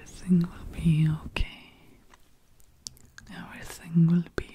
Everything will be okay. Everything will be okay.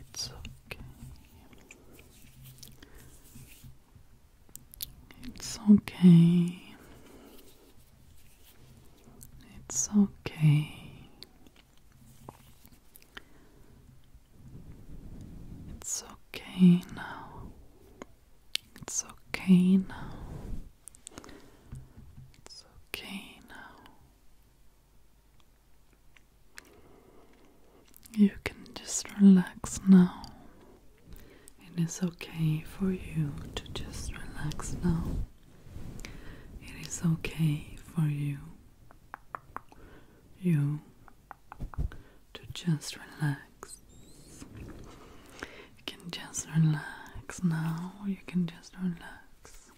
It's okay. It's okay. It's okay. It's okay now. It's okay now. It's okay now. You can just relax now. It is okay for you to just relax now. It is okay for you. You to just relax. You can just relax now. You can just relax.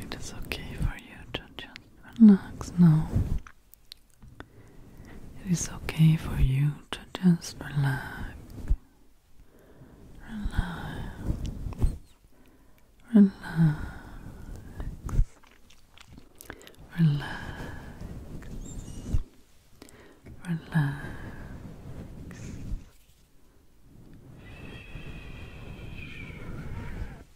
It is okay for you to just Relax now. It is okay for you to just relax. Relax. Relax. Relax. Relax. Relax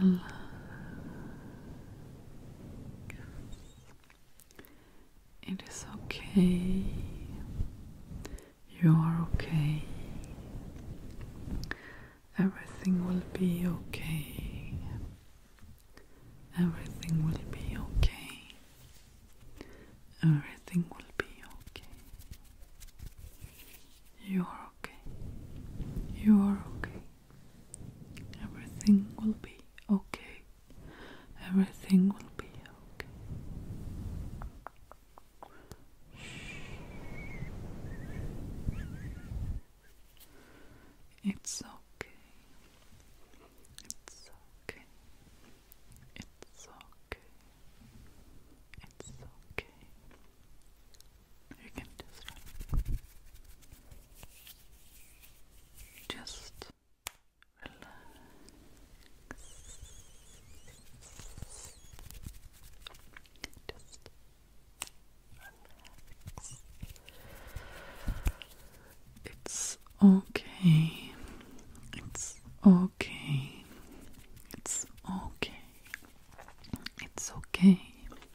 relax it is okay you are okay everything will be okay everything will be okay everything will be okay you are okay you are okay Everything will be okay. Everything will be okay. It's okay. It's okay. It's okay. It's okay. You can just Just relax. Just relax. It's okay. It's okay. It's okay. It's okay.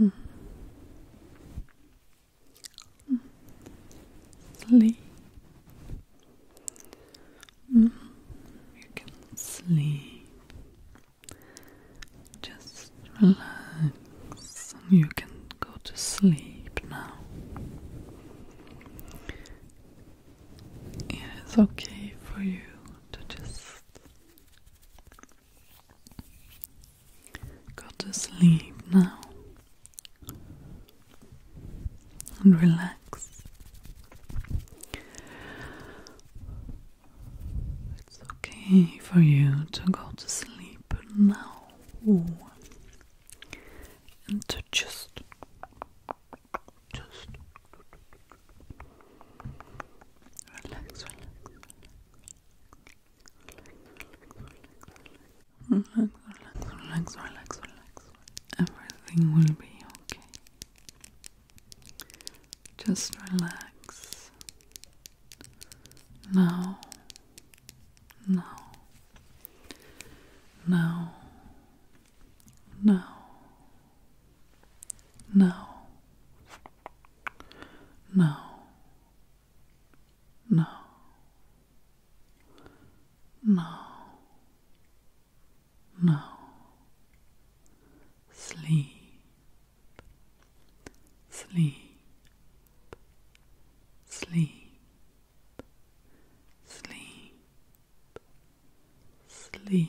Mm. Sleep. Mm. You can sleep. Just relax, and you can go to sleep now. It is okay for you to just Go to sleep now and relax. It's okay for you to go to sleep now and to just just relax, relax. Relax, relax, relax, relax, relax. Everything will be okay. Just relax. Now, now, now, now, now. No. No. No. No. Sleep. Sleep. Sleep. Sleep. Sleep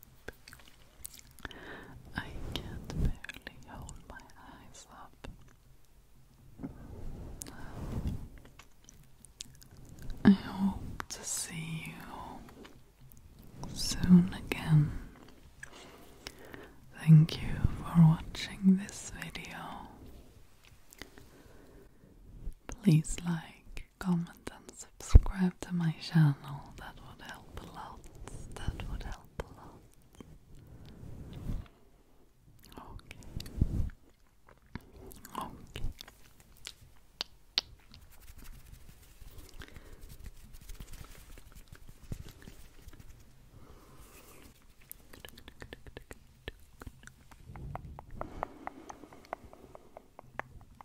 I can't barely hold my eyes up. I hope to see you soon again. Thank you for watching this video. Please like, comment, and subscribe to my channel, that would help a lot. That would help a lot. Okay. Okay.